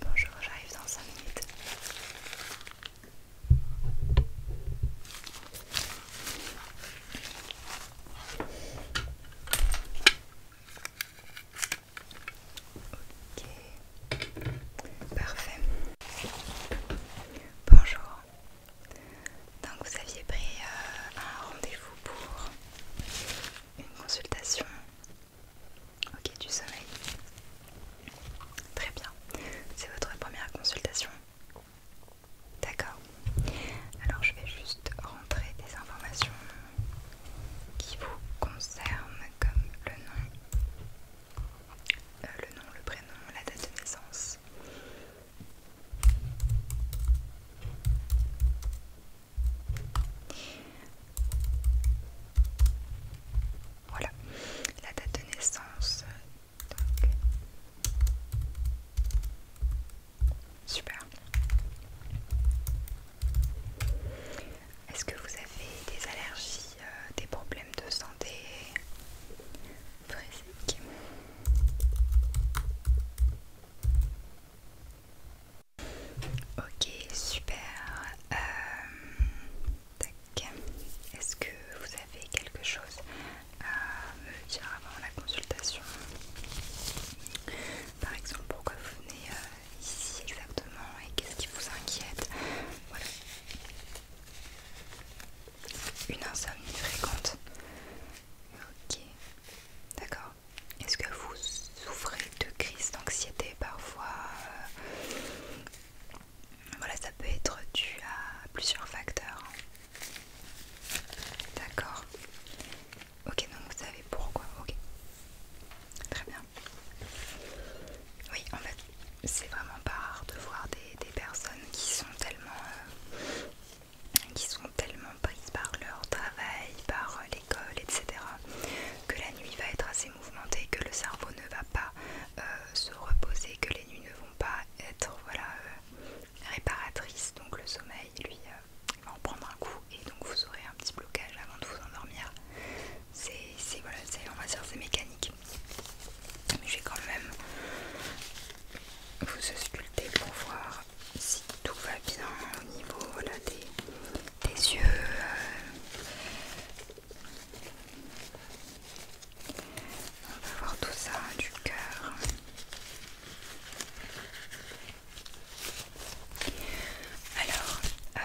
Bonjour, j'arrive dans cinq minutes. Ok, parfait. Bonjour. Donc vous aviez pris euh, un rendez-vous pour une consultation. Ok, du sommeil. Très bien. C'est votre première consultation. D'accord. Alors je vais juste rentrer des informations qui vous concerne comme le nom, euh, le nom, le prénom, la date de naissance. Voilà, la date de naissance. Super. Est-ce que vous avez des allergies, euh, des problèmes de santé Ok, super. Euh, Est-ce que vous avez quelque chose à me dire avant la consultation Par exemple, pourquoi vous venez euh, ici exactement et qu'est-ce qui vous inquiète. Voilà. Une insomnie fréquente. Ok. D'accord. Est-ce que vous souffrez de crises d'anxiété parfois euh, Voilà, ça peut être dû à plusieurs facteurs. D'accord. Ok, donc vous savez pourquoi. Ok. Très bien. Oui, en fait, c'est vraiment pas rare de voir des, personnes qui sont tellement... Euh, qui sont tellement prises par leur travail, par euh, l'école, etc., que la nuit va être assez mouvementée, que le cerveau ne va pas euh, se reposer, que les nuits ne vont pas être voilà, réparatrices, donc le sommeil, lui, va en prendre un coup, et donc vous aurez un petit blocage avant de vous endormir c'est voilà, on va dire c'est mécanique. Mais je vais quand même vous sculpter pour voir si tout va bien au niveau des, des yeux. Euh. On va voir tout ça du cœur. Alors, euh,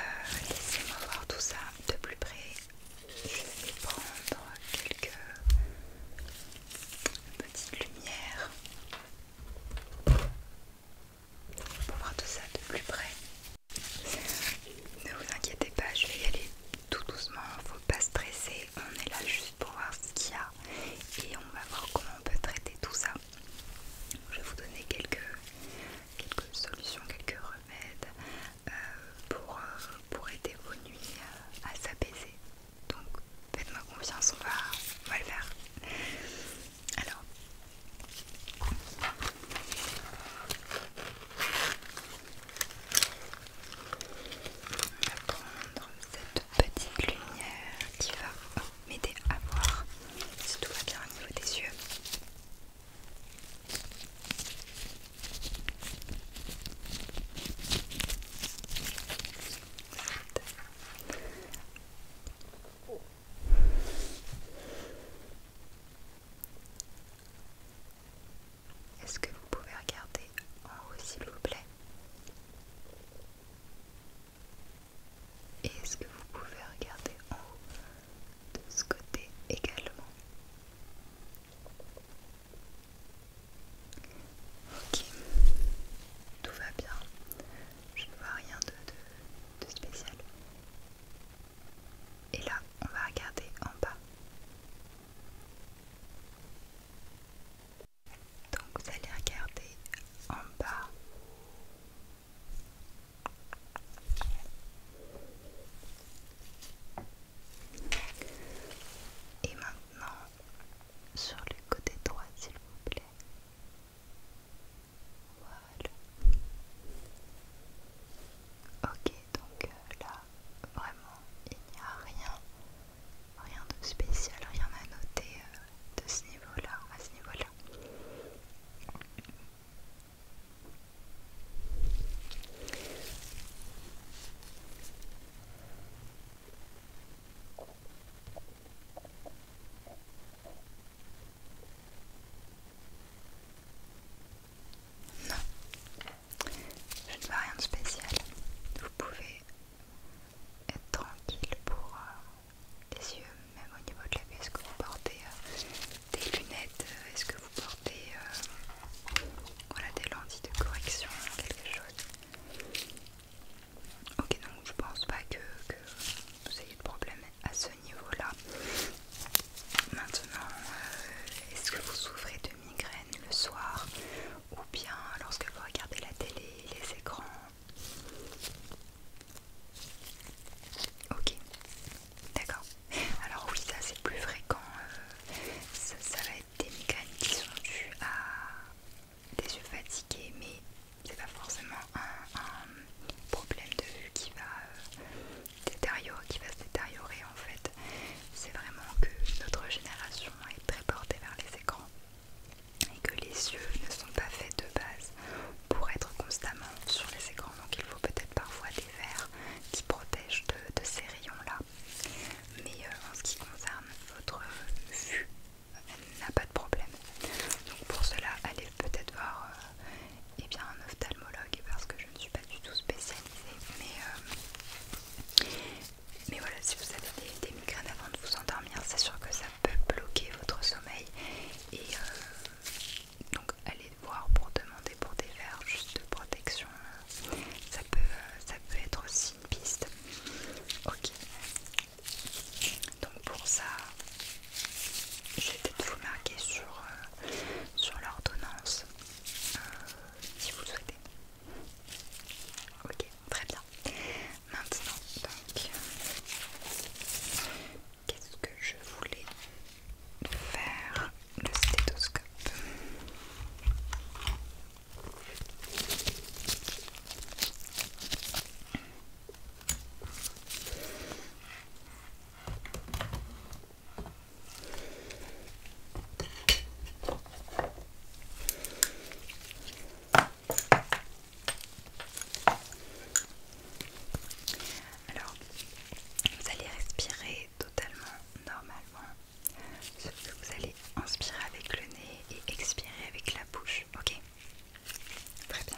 laissez-moi voir tout ça de plus près. Je vais prendre quelques petites lumières pour voir tout ça de plus près. Ne vous inquiétez pas, je vais y aller tout doucement, faut pas stresser, on est là juste pour voir ce qu'il y a et on va voir comment on peut traiter tout ça. Je vais vous donner quelques, solutions, quelques euh, euh, pour, aider vos nuits euh, à s'apaiser. Donc faites-moi confiance, on va, on va le faire. Alors. On va prendre cette petite lumière qui va m'aider à voir si tout va bien au niveau des yeux. Est-ce que vous pouvez regarder en haut s'il vous plaît Et est-ce que vous pouvez regarder en haut de ce côté également. Ok, tout va bien. Je ne vois rien de, de spécial. Et là, on va regarder en bas. Donc vous allez regarder en bas et maintenant sur le côté droit, s'il vous plaît. Voilà. Ok, donc euh, là, vraiment, il n'y a rien, rien de spécial, rien à noter euh, de ce niveau-là, à ce niveau-là. Non, je ne vois rien de spécial. Vous pouvez être tranquille pour euh, les yeux, même au niveau de la pièce que vous portez euh, des lunettes, euh, est-ce que vous portez euh, des lentilles de correction, quelque chose Ok, donc je pense pas que, vous ayez de problème à ce niveau-là. Maintenant, euh, est-ce que vous souffrez de migraines le soir ou bien lorsque vous regardez la télé, les écrans Ok, D'accord. Alors oui, ça c'est plus fréquent. Euh, ça, va être des mécanismes qui sont dues à des yeux fatigués, mais c'est pas forcément un, problème de vue euh, qui va se détériorer en fait. C'est vraiment que notre génération est très portée vers les écrans et que les yeux ne sont pas faits de base pour être constamment sur les écrans. Donc il faut peut-être parfois des verres qui protègent de, ces rayons-là. Mais euh, en ce qui concerne votre vue, elle n'a pas de problème. Donc pour cela, allez peut-être voir euh, eh bien, un ophtalmologue parce que je ne suis pas du tout spécialisée. Mais, euh, mais voilà, si vous avez des, migraines avant de vous endormir, c'est sûr que ça peut bloquer votre sommeil. Et, donc allez voir pour demander pour des verres juste de protection ça peut, euh, ça peut être aussi une piste ok donc pour ça je vais peut-être vous marquer sur, euh, sur l'ordonnance euh, si vous le souhaitez ok très bien maintenant donc Qu'est-ce que je voulais faire Le stéthoscope. Alors, vous allez respirer totalement normalement, vous allez inspirer avec le nez et expirer avec la bouche, ok Très bien.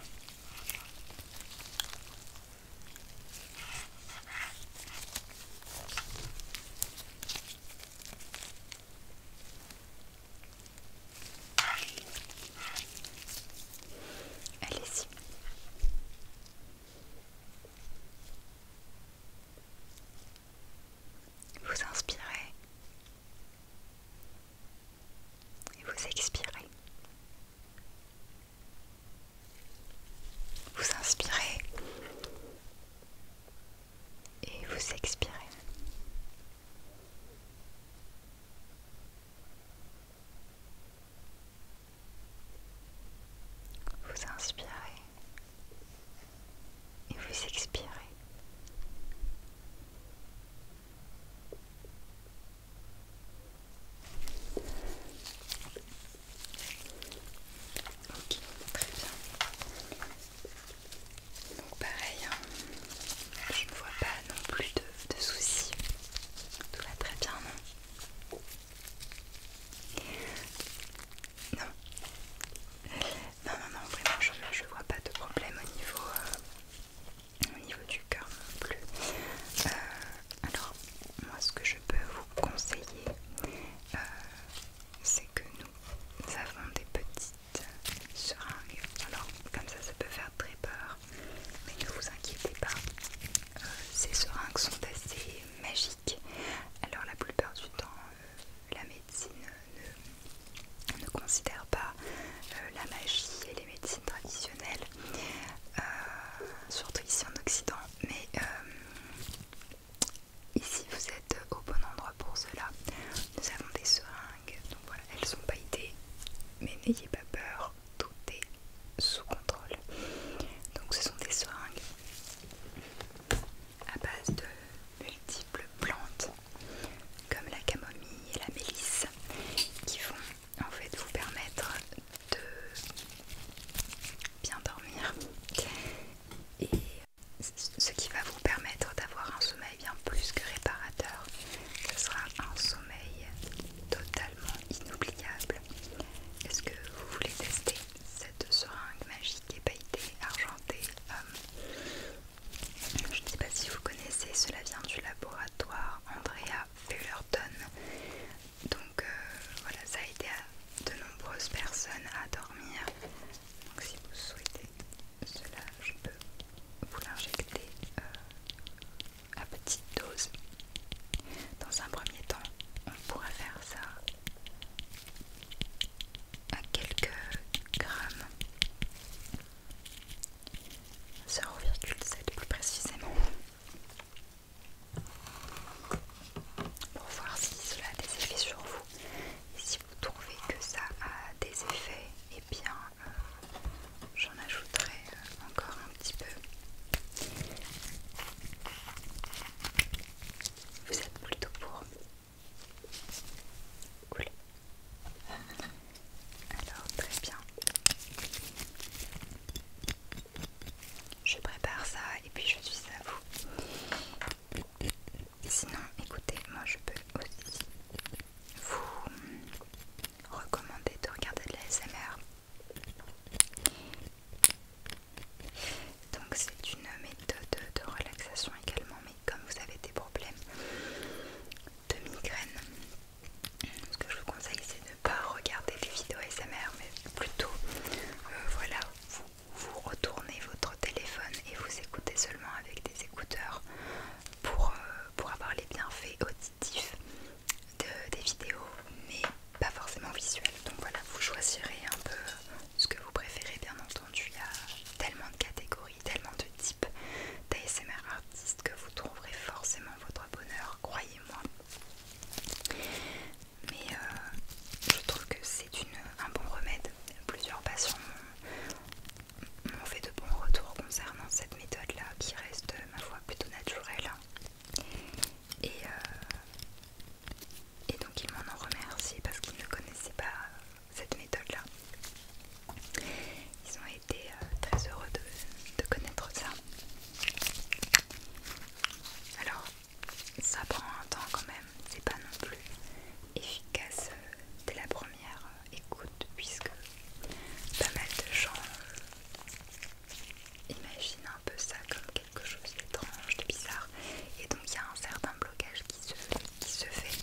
Allez-y. Vous inspirez et vous expirez. Vous inspirez et vous expirez. Vous inspirez et vous expirez. Ok, très bien. Donc pareil, hein. je ne vois pas non plus de, de soucis. Tout va très bien, non non. Non, non, vraiment, je, vois pas de problème au niveau, euh, au niveau du cœur non plus. Euh, alors, moi, ce que je peux vous conseiller, euh, c'est que nous avons des petites seringues. Alors, comme ça, ça peut faire très peur, mais ne vous inquiétez pas, ces seringues sont assez magiques. Alors la plupart du temps, euh, la médecine ne, considère pas euh, la magie et les médecines traditionnelles, euh, surtout ici en Occident. Mais ici, vous êtes au bon endroit pour cela. Nous avons des seringues, donc voilà, elles sont pailletées, mais n'ayez pas peur tout est sous contrôle. Donc ce sont des seringues à base de multiples plantes comme la camomille et la mélisse qui vont en fait vous permettre de bien dormir et ce qui va vous permettre d'avoir un sommeil bien plus que réparateur. Ce sera un sommeil totalement inoubliable est-ce que vous voulez tester cette seringue magique et pailletée argentée euh, Je ne sais pas si vous connaissez, cela vient du laboratoire Andrea Fullerton. Donc euh, voilà, ça a aidé de nombreuses personnes à dormir. Donc si vous souhaitez cela, je peux vous l'injecter euh, à petite dose. Dans un premier temps, on pourrait faire ça à quelques grammes, 0,7 plus précisément, pour voir si cela a des effets sur vous. Et si vous trouvez que ça a des effets, et eh bien euh, j'en ajouterai euh, encore un un petit peu. Vous êtes plutôt pour. couler, Alors très bien. Je prépare ça et puis je suis à vous. Sinon, écoutez, moi je peux aussi vous recommander de regarder de l'ASMR donc c'est une méthode de relaxation également, mais comme vous avez des problèmes de migraine, ce que je vous conseille c'est de ne pas regarder les vidéos ASMR, mais plutôt euh, voilà, vous, retournez votre téléphone et vous écoutez seulement avec des écouteurs pour, euh, pour avoir les bienfaits auditifs des vidéos, mais pas forcément visuelles. Donc voilà, vous choisirez un peu ce que vous préférez, bien entendu. Il y a tellement de catégories, tellement de types d'ASMR artistes que vous trouverez forcément votre bonheur, croyez-moi. Mais euh, je trouve que c'est un bon remède. Plusieurs patients m'ont fait de bons retours concernant cette méthode-là qui reste, ma foi, plutôt naturelle. Et, euh, et donc ils m'en ont remercié parce qu'ils ne connaissaient pas euh, cette méthode-là. Ils ont été euh, très heureux de, connaître ça. Alors, ça prend un temps quand même, c'est pas non plus efficace dès la première écoute puisque pas mal de gens imaginent un peu ça comme quelque chose d'étrange, de bizarre. Et donc il y a un certain blocage qui se, qui se fait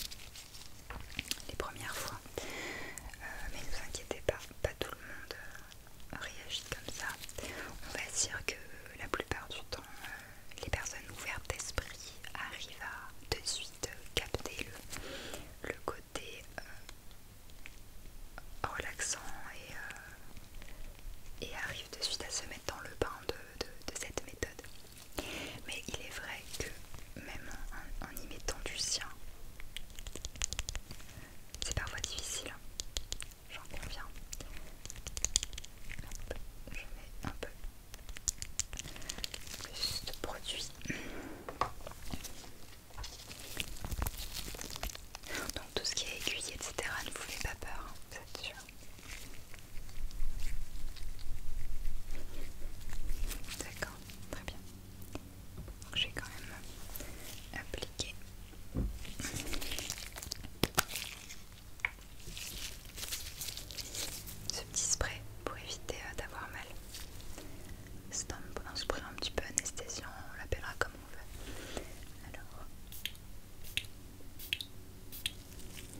les premières fois. Euh, mais ne vous inquiétez pas, pas tout le monde euh, réagit comme ça. On va dire que la plupart du temps, euh, les personnes ouvertes d'esprit arrivent à de suite capter le, le côté relaxant et et arrive de suite à se mettre dans le bain de, cette méthode. Mais il est vrai que même en, y mettant du sien, c'est parfois difficile, hein. j'en conviens. je mets un peu plus de produit. Donc tout ce qui est aiguille, etc. ne vous faites pas peur, hein, vous êtes sûr. D'accord, très bien. Donc vais quand même appliquer Ce petit spray pour éviter euh, d'avoir mal. C'est un, un spray un petit peu anesthésiant, on l'appellera comme on veut. Alors,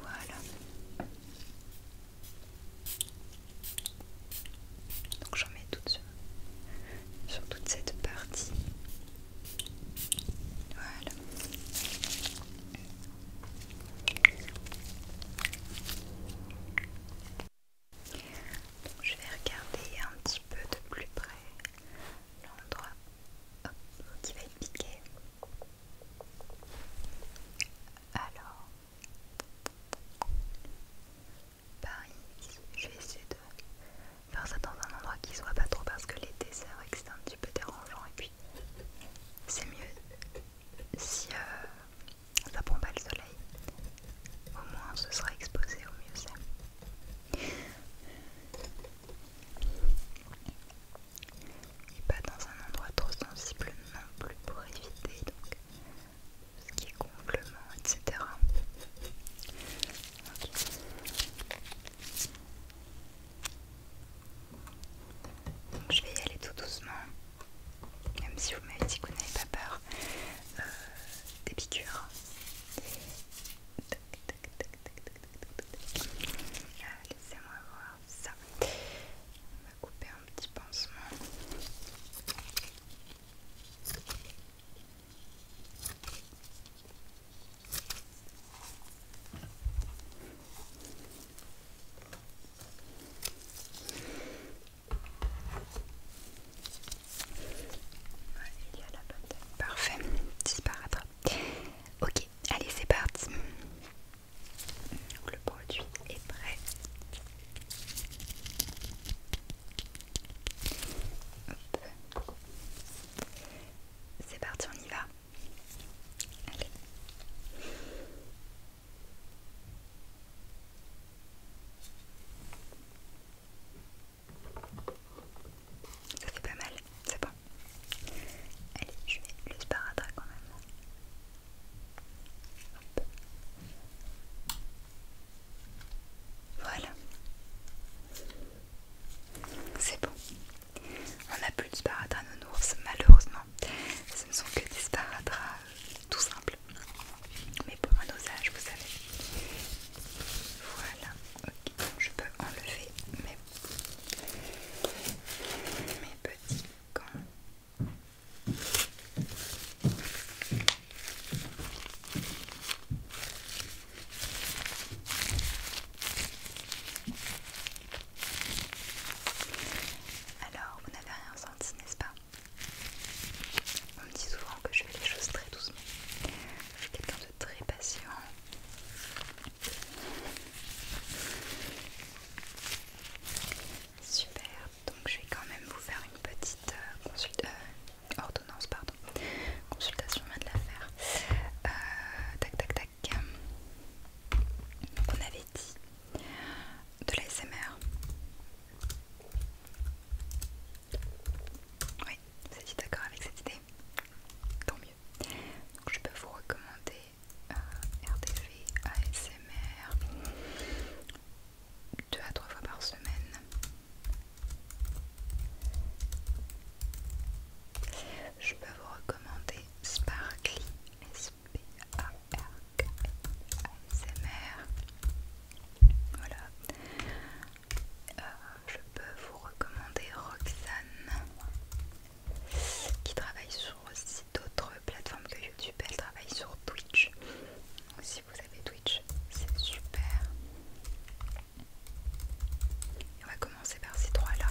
voilà. Donc j'en mets tout sur, toute cette partie. Voilà. je vais regarder un petit peu de plus près l'endroit qui va être piqué. Alors, pareil, je vais essayer de faire ça dans un endroit qui soit pas trop parce que l'été c'est vrai que c'est un petit peu dérangeant et puis c'est mieux si euh, ça prend pas le soleil. Au moins ce sera exposé au mieux c'est et pas dans un endroit trop sensible non plus pour éviter donc ce qui est gonflement, etc. Donc je vais y aller tout doucement, même si vous m'avez dit que vous n'avez pas peur euh, des piqûres. Ah, laissez-moi voir ça. On va couper un petit pansement. il y a la bonne. Parfait, disparaître Ok, allez, c'est parti. le produit est prêt. C'est parti, on y va. Allez. Ça fait pas mal, c'est bon. Allez, je mets le sparadrap quand même. Voilà. C'est bon. On n'a plus de sparadrap ours, malheureusement. Ce ne sont que des sparadrap tout simples. Mais pour un dosage, vous savez. Voilà. Ok, je peux enlever mes, petits gants. Alors, vous n'avez rien senti, n'est-ce pas On me dit souvent que je fais les choses très doucement très patient. Super, donc je vais quand même vous faire une petite euh, consultation euh, ordonnance, pardon, consultation vient de l'affaire. Euh, tac, tac, tac. Donc on avait dit de l'ASMR. Oui, vous êtes d'accord avec cette idée Tant mieux je peux vous recommander ASMR euh, deux à trois fois par semaine. Je peux vous recommander Sparkly S P A Voilà. Euh, je peux vous recommander Roxane qui travaille sur aussi d'autres plateformes que YouTube. Elle travaille sur Twitch. si vous avez Twitch, c'est super. on va commencer par ces trois-là.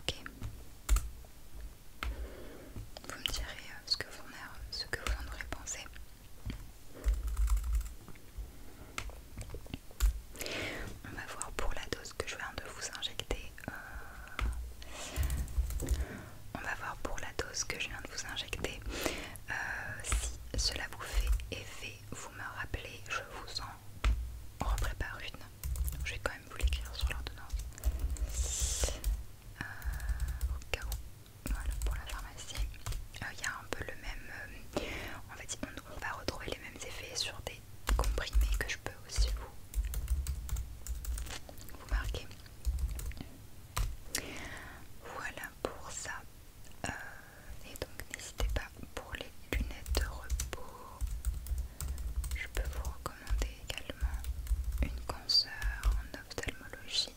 Ok. Vous me direz euh, ce que vous en, ce que vous en aurez pensé. On va voir pour la dose que je viens de vous injecter. Euh, on va voir pour la dose que je viens de vous injecter. Euh, si cela vous fait effet, vous me rappelez, je vous en reprépare une. Je vais quand même vous l'écrire sur l'ordonnance. Euh, au cas où. Voilà pour la pharmacie. Il y a un peu le même. on, va on va retrouver mêmes effets sur des comprimés que je peux aussi vous, vous marquer. Voilà pour ça. Euh, et donc n'hésitez pas pour les lunettes de repos. Je peux vous recommander également une consoeur en ophtalmologie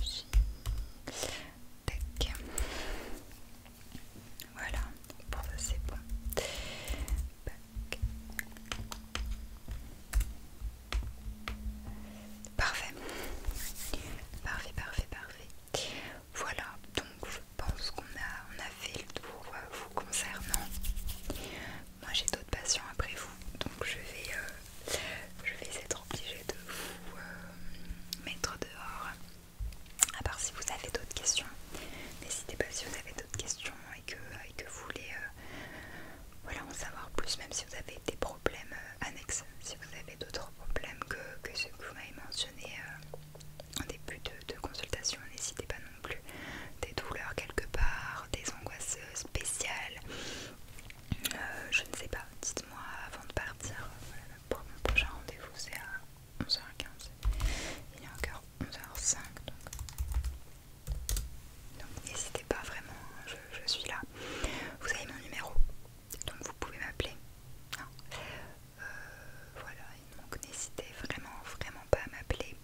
aussi. Tac. Voilà, pour ça c'est bon. Parfait. Parfait, parfait, parfait. Voilà, donc je pense qu'on a, on fait le tour euh, vous concernant. Moi j'ai d'autres patients après vous, donc je vais euh, je vais être obligée de vous euh, mettre dehors. À part si vous avez d'autres questions, n'hésitez pas si vous avez d'autres questions et que, vous voulez euh, voilà, en savoir plus, même si vous avez des problèmes euh, annexes, si vous avez d'autres problèmes que, ce ceux que vous m'avez mentionné en début de, consultation, n'hésitez pas non plus. Des douleurs quelque part, des angoisses spéciales, je ne sais pas, avant de partir. pour mon prochain rendez-vous, c'est à 11h15. Il est encore 11h05, donc n'hésitez pas vraiment, hein, je, suis là. Vous avez mon numéro, donc vous pouvez m'appeler. Hein. Euh, voilà, donc n'hésitez vraiment, vraiment pas à m'appeler.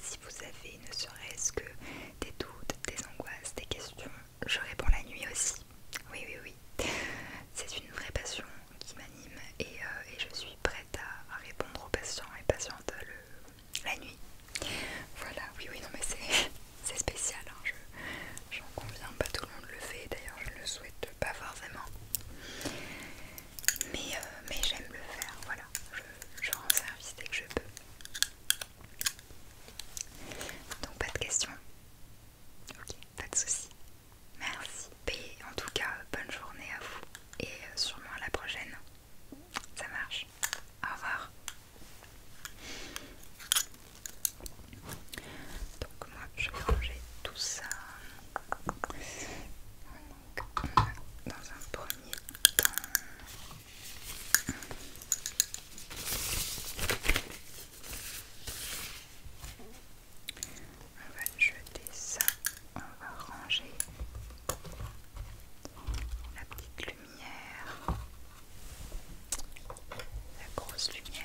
Si vous avez ne serait-ce que des doutes, des angoisses, des questions, je réponds la nuit aussi. Oui, oui, oui. C'est une vraie passion qui m'anime et, euh, je suis prête à, répondre aux patients et patientes la nuit. Voilà, oui, oui, non, mais c'est spécial. Hein. J'en conviens, pas tout le monde le fait. D'ailleurs, je ne le souhaite pas forcément. Mais, euh, mais j'aime le faire. Voilà, je rends service dès que je peux. Donc pas de questions Ok, pas de soucis. Merci. Et en tout cas, bonne journée à vous et euh, sûrement à la prochaine. Ça marche. Au revoir. Donc moi, je vais ranger tout ça. Donc, on dans un premier temps... On va jeter ça, on va ranger la petite lumière, la grosse lumière.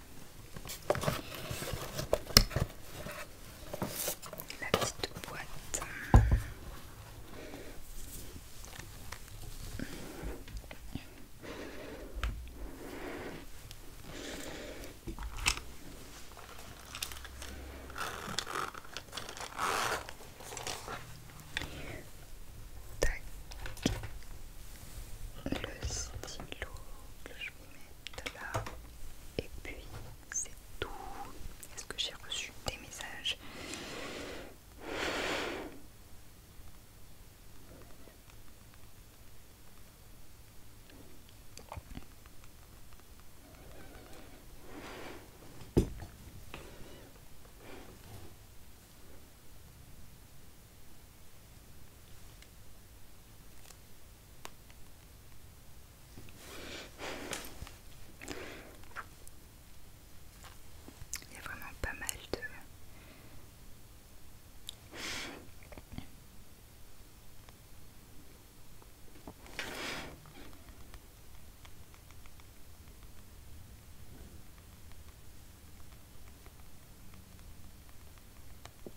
La petite boîte. Tac. Le stylo que et puis c'est tout. Est-ce que j'ai reçu des messages il y a vraiment pas mal de...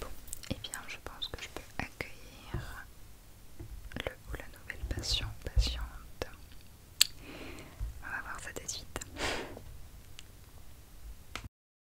Bon, et eh bien je pense que je peux accueillir le ou la nouvelle patiente. On va voir ça de suite.